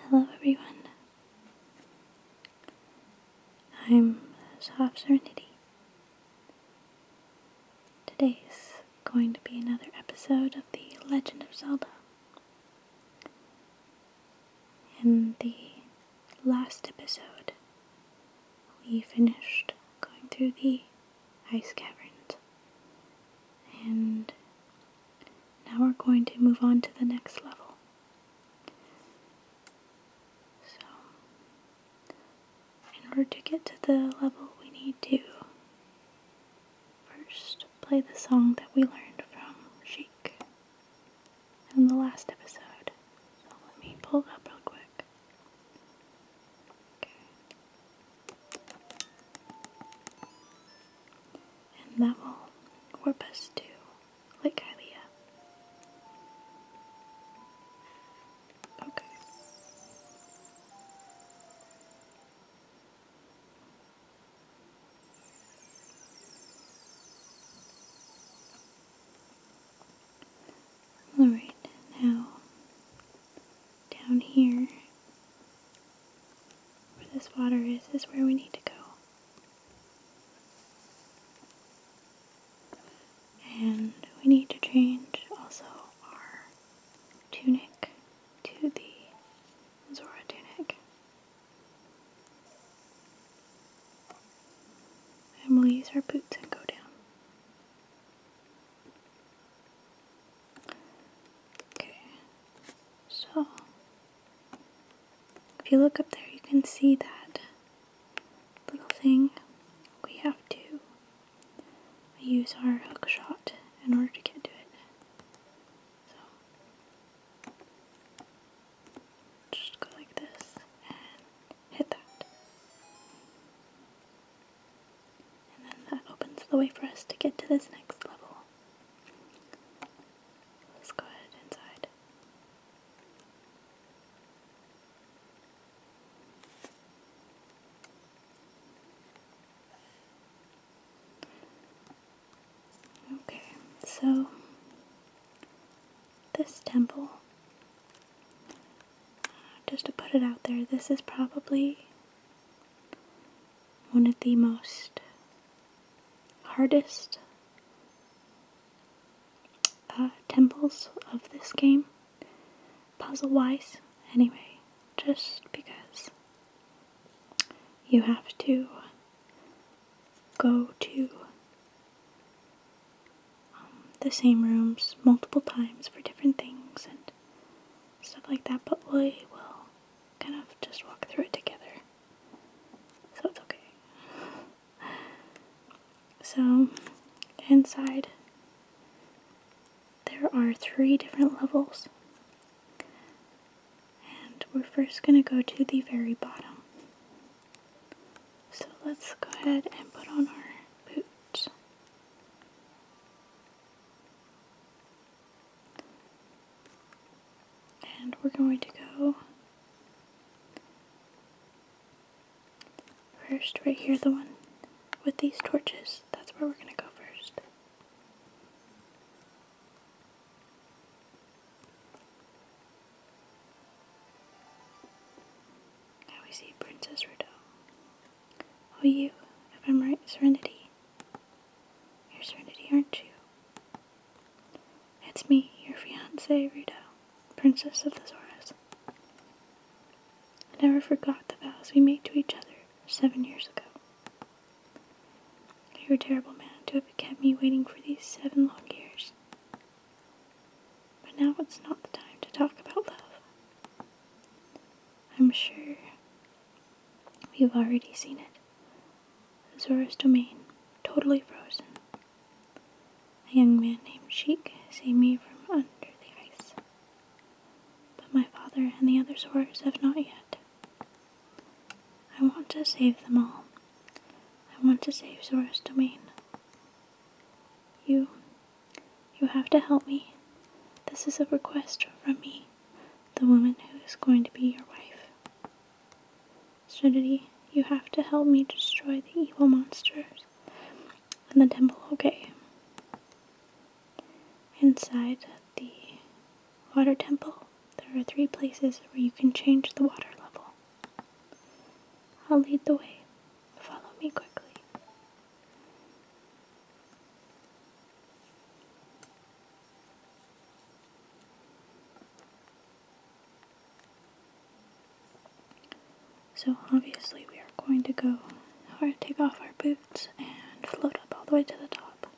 Hello everyone. I'm Soft Serenity. Today's going to be another episode of The Legend of Zelda. In the last episode, we finished going through the ice caverns and now we're going to move on to the next level. So, in order to get to the level, we need to first play the song that we learned from Sheik in the last episode. So, let me pull up real quick. Okay and level Corpus to Lake Hylia. Okay. All right, now down here where this water is, is where we need to go. And we need to change also our tunic to the Zora tunic. And we'll use our boots and go down. Okay, so if you look up there, you can see that little thing. We have to use our hook shot in order to get to it. So just go like this and hit that. And then that opens the way for us to get to this next level. Let's go ahead inside. Okay, so this temple, uh, just to put it out there, this is probably one of the most hardest uh, temples of this game, puzzle wise, anyway, just because you have to go to um, the same rooms multiple times for different things and stuff like that, but we will kind of just walk through it together. So it's okay. So, inside, there are three different levels. And we're first going to go to the very bottom. So let's go ahead and put on our boots. And we're going to go first right here, the one with these torches. That's where we're going to go first. Now we see Princess Rideau. Oh, you, if I'm right, Serenity. You're Serenity, aren't you? It's me, your fiancée, Rito, Princess of the Zoras. I never forgot the vows we made to each other seven years ago. You're a terrible man to have kept me waiting for these seven long years. But now it's not the time to talk about love. I'm sure you've already seen it. Zora's domain, totally frozen. A young man named Sheik saved me from under the ice. But my father and the other Zoras have not yet. I want to save them all. I want to save Zora's domain. You you have to help me. This is a request from me, the woman who is going to be your wife. Trinity, you have to help me destroy the evil monsters in the temple, okay? Inside the water temple, there are three places where you can change the water level. I'll lead the way. Follow me quickly. So obviously we are going to go take off our boots and float up all the way to the top.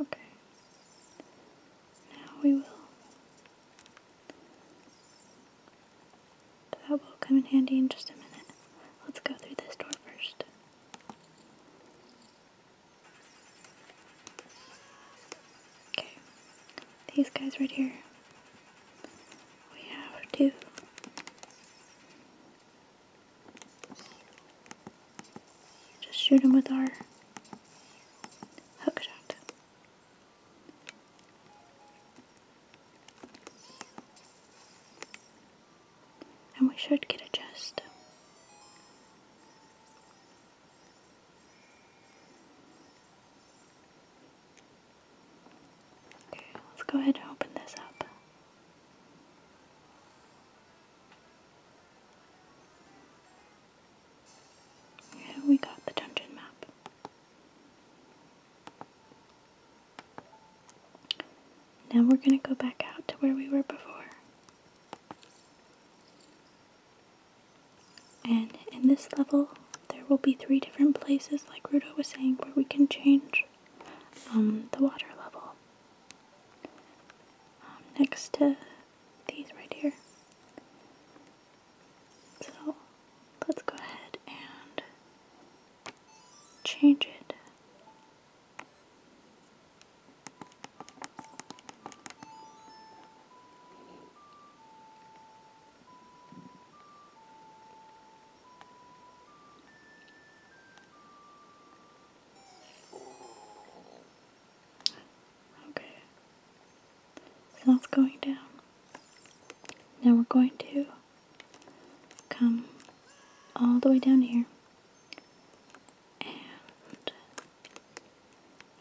Okay. Now we will. That will come in handy in just a minute. Let's go through this door first. Okay. These guys right here. We have two. Just shoot him with our hook shot. And we should get a just. Okay, let's go ahead and open this up we got the dungeon map. Now we're going to go back out to where we were before. And in this level, there will be three different places, like Rudo was saying, where we can change um, the water level. Um, next to these right here. So let's go ahead and change it. Okay. So that's going down. Now we're going to come all the way down here. And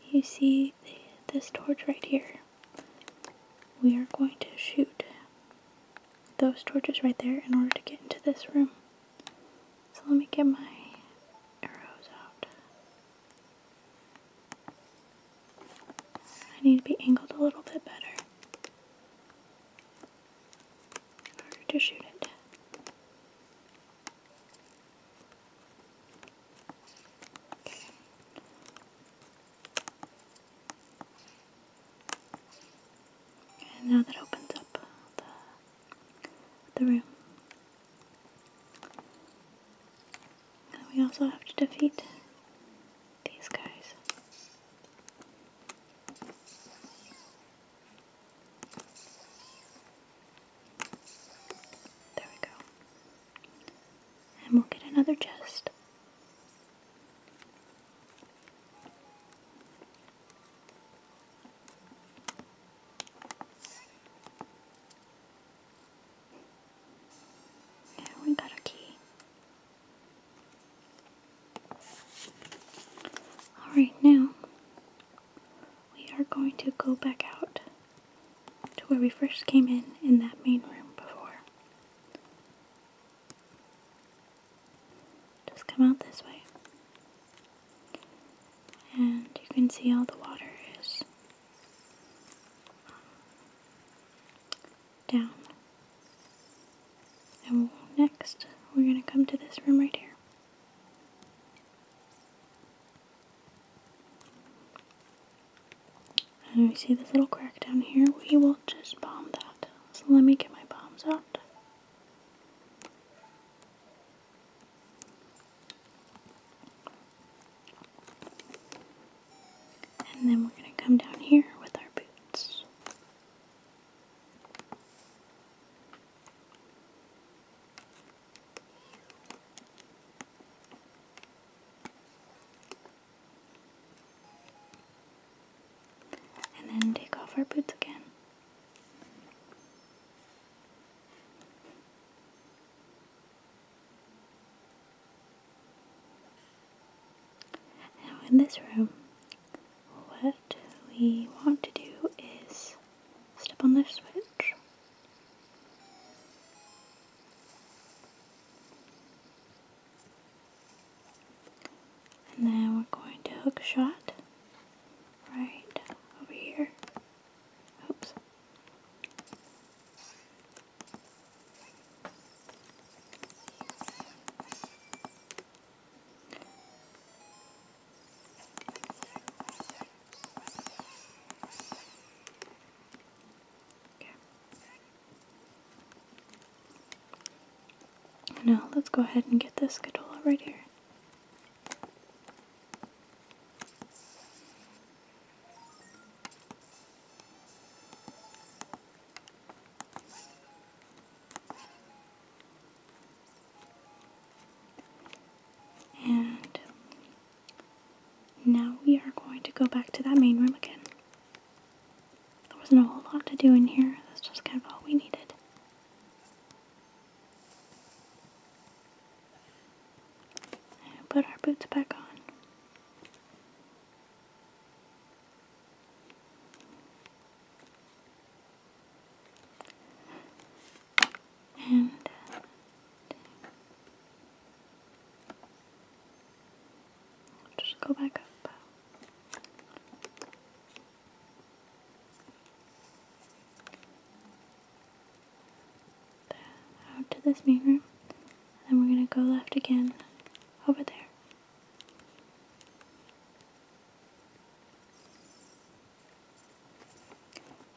you see this torch right here. We are going to shoot those torches right there in order to get into this room. So let me get my arrows out. I need to be angled a little bit better in order to shoot it. And now that opens up the, the room. And we also have to defeat these guys. There we go. And we'll get another chest. Yeah, we got a key. Alright, now we are going to go back out to where we first came in in that main room before. Just come out this way. And you can see all the water is um, down. And next, we're going to come to this room right here. And we see this little crack down here, we will just bomb that. So let me get my bombs out. And then we're going to come down here with our boots and then take off our boots again. Now, in this room, what we want to do is step on this switch. And then we're going to hook shot right over here. Oops. Okay. Now let's go ahead and get this Catola right here. And now we are going to go back to that main room again. There wasn't a whole lot to do in here. That's just kind of all we needed. put our boots back on. And uh, just go back up. Out to this mirror, and then we're gonna go left again over there.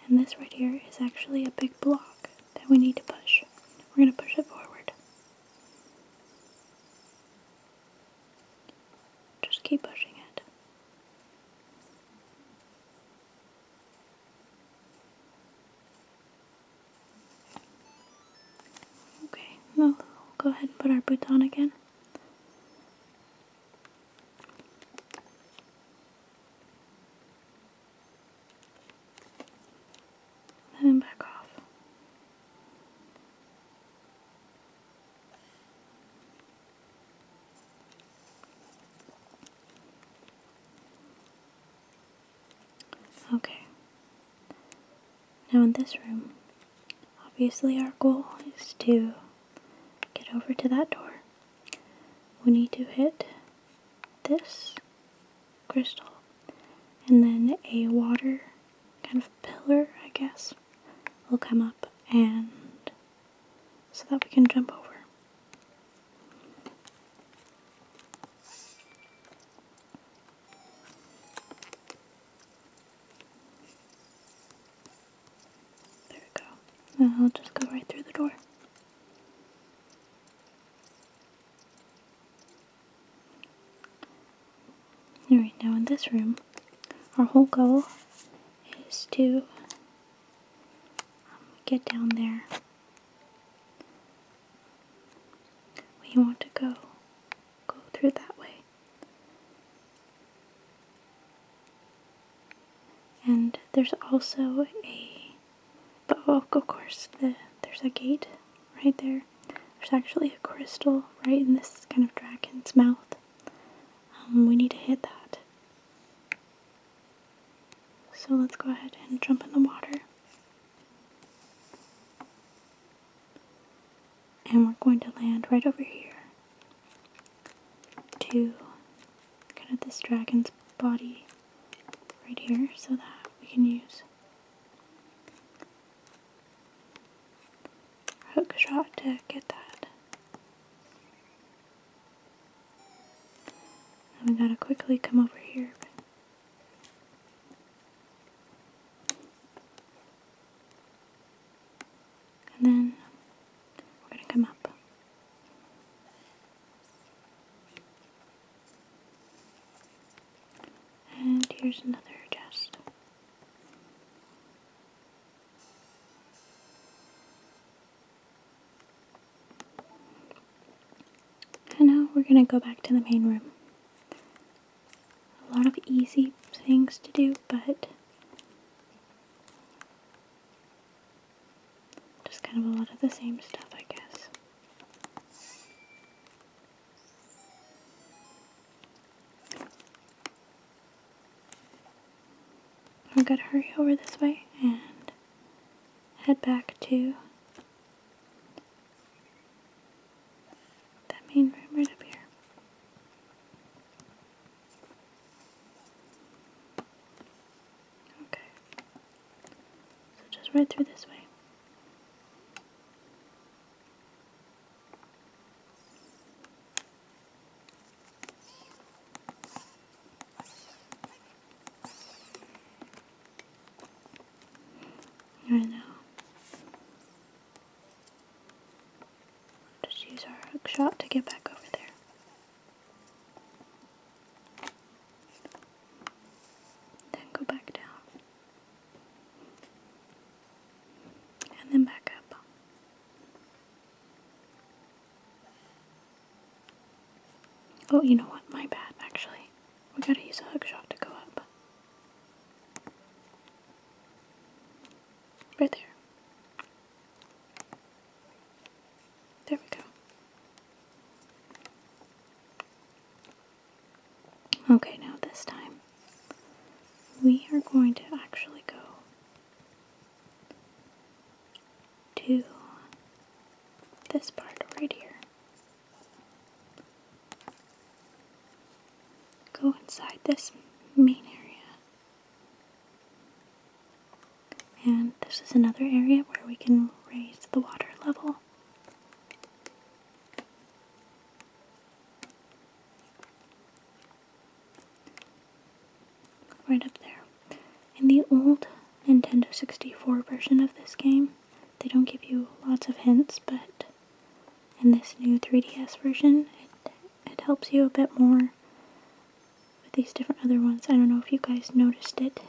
And this right here is actually a big block that we need to push. We're gonna push it forward. Just keep pushing it. Okay, well, we'll go ahead and put our boots on again and then back off. Okay. Now in this room, obviously our goal is to get over to that door. We need to hit this crystal, and then a water kind of pillar, I guess, will come up and so that we can jump over. There we go. I'll just go right through the door. All right, now in this room, our whole goal is to um, get down there. We want to go, go through that way. And there's also a, but oh, of course, there's a gate right there. There's actually a crystal right in this kind of dragon's mouth. Um, we need to hit that. So let's go ahead and jump in the water. And we're going to land right over here to kind of this dragon's body right here so that we can use Hook shot to get that. I'm going to quickly come over here. And then we're gonna come up. And here's another just. And now we're gonna go back to the main room. A lot of easy things to do, but just kind of a lot of the same stuff, I guess. I'm gonna hurry over this way and head back to that main room right up here. Okay. So just right through this way. Right now, just use our shot to get back over there. Then go back down. And then back up. Oh, you know what? My bad, actually. We gotta use a hug shot to go up. Right there. There we go. Okay, now this time we are going to actually go to this part right here. Go inside this main area. And this is another area where we can raise the water level. Right up there. In the old Nintendo 64 version of this game, they don't give you lots of hints, but in this new 3DS version, it, helps you a bit more with these different other ones. I don't know if you guys noticed it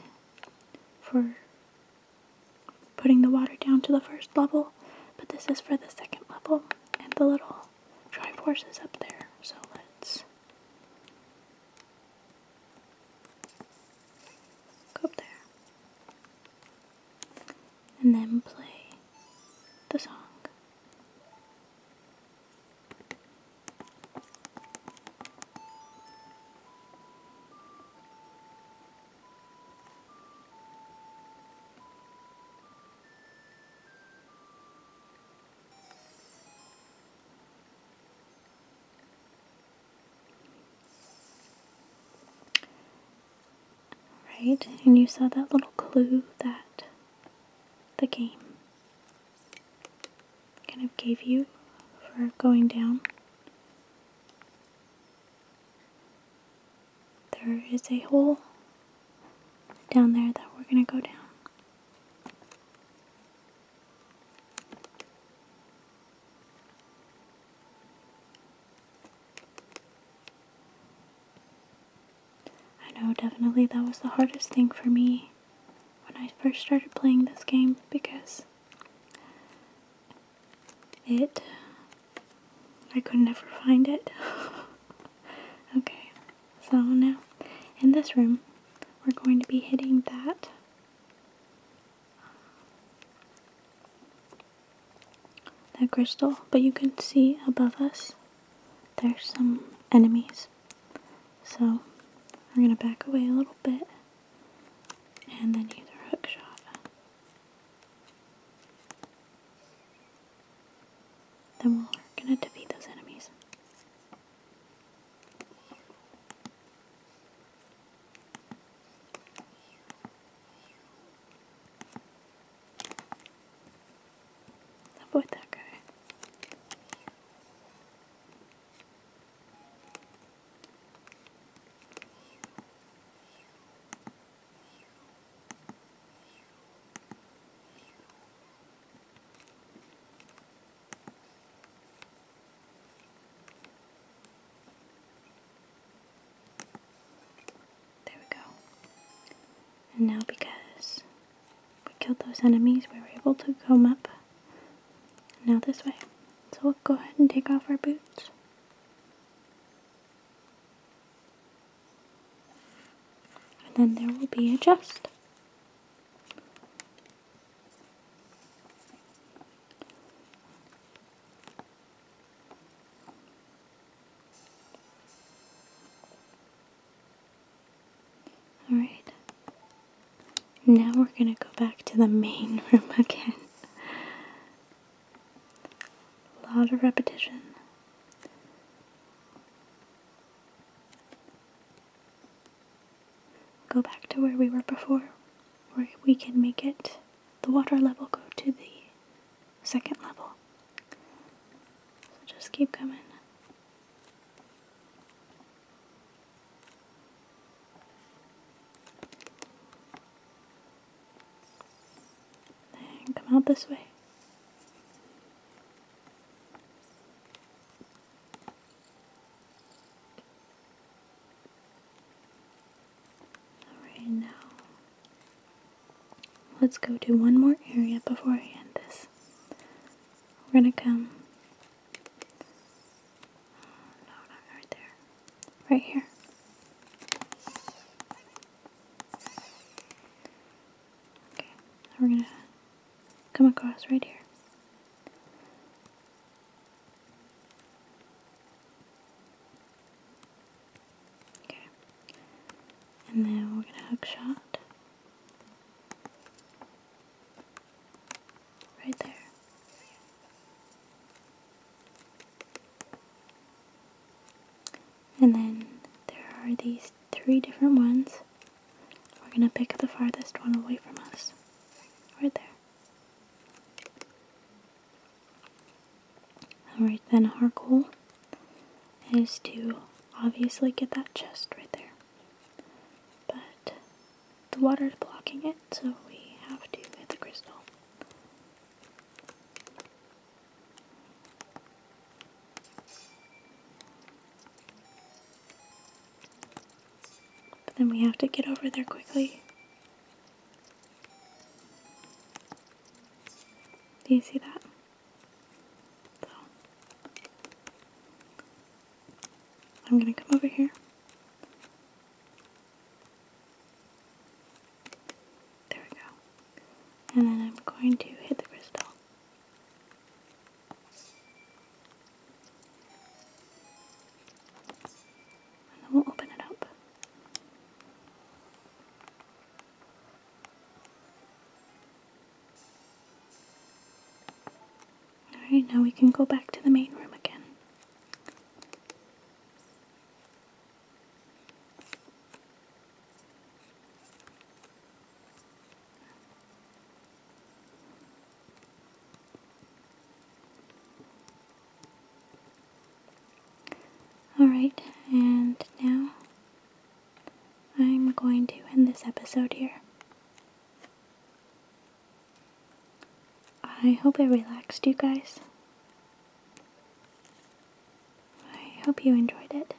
for putting the water down to the first level, but this is for the second level and the little Triforce is up there. So let's go up there and then play the song. Right, and you saw that little clue that the game kind of gave you for going down. There is a hole down there that we're going to go down. I know definitely that was the hardest thing for me when I first started playing this game because it. I could never find it. okay, so now in this room, we're going to be hitting that. That crystal, but you can see above us there's some enemies. So, we're gonna back away a little bit and then use a hook shot. Then we're gonna defeat those enemies. Avoid that guy. There we go. And now because we killed those enemies, we were able to come up now this way. So we'll go ahead and take off our boots. And then there will be a just. Alright. Now we're going to go back to the main room again. A lot of repetition. Go back to where we were before, where we can make it the water level go to the second level. So just keep coming come out this way. Alright, now let's go to one more area before I end this. We're gonna come Oh, no, not right there. Right here. Okay, we're gonna come across right here. Okay. And then we're gonna hook shot. Right there. And then there are these three different ones. We're gonna pick the farthest one away from us. Right there. Alright, then our goal is to obviously get that chest right there but the water is blocking it, so we have to get the crystal. But then we have to get over there quickly. Do you see that? I'm going to come over here. There we go. And then I'm going to hit the crystal. And then we'll open it up. Alright, now we can go back to the main room again. Alright, and now I'm going to end this episode here. I hope I relaxed you guys. I hope you enjoyed it.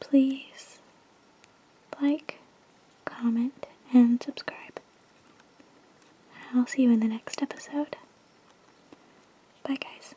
Please like, comment, and subscribe. I'll see you in the next episode. Bye, guys.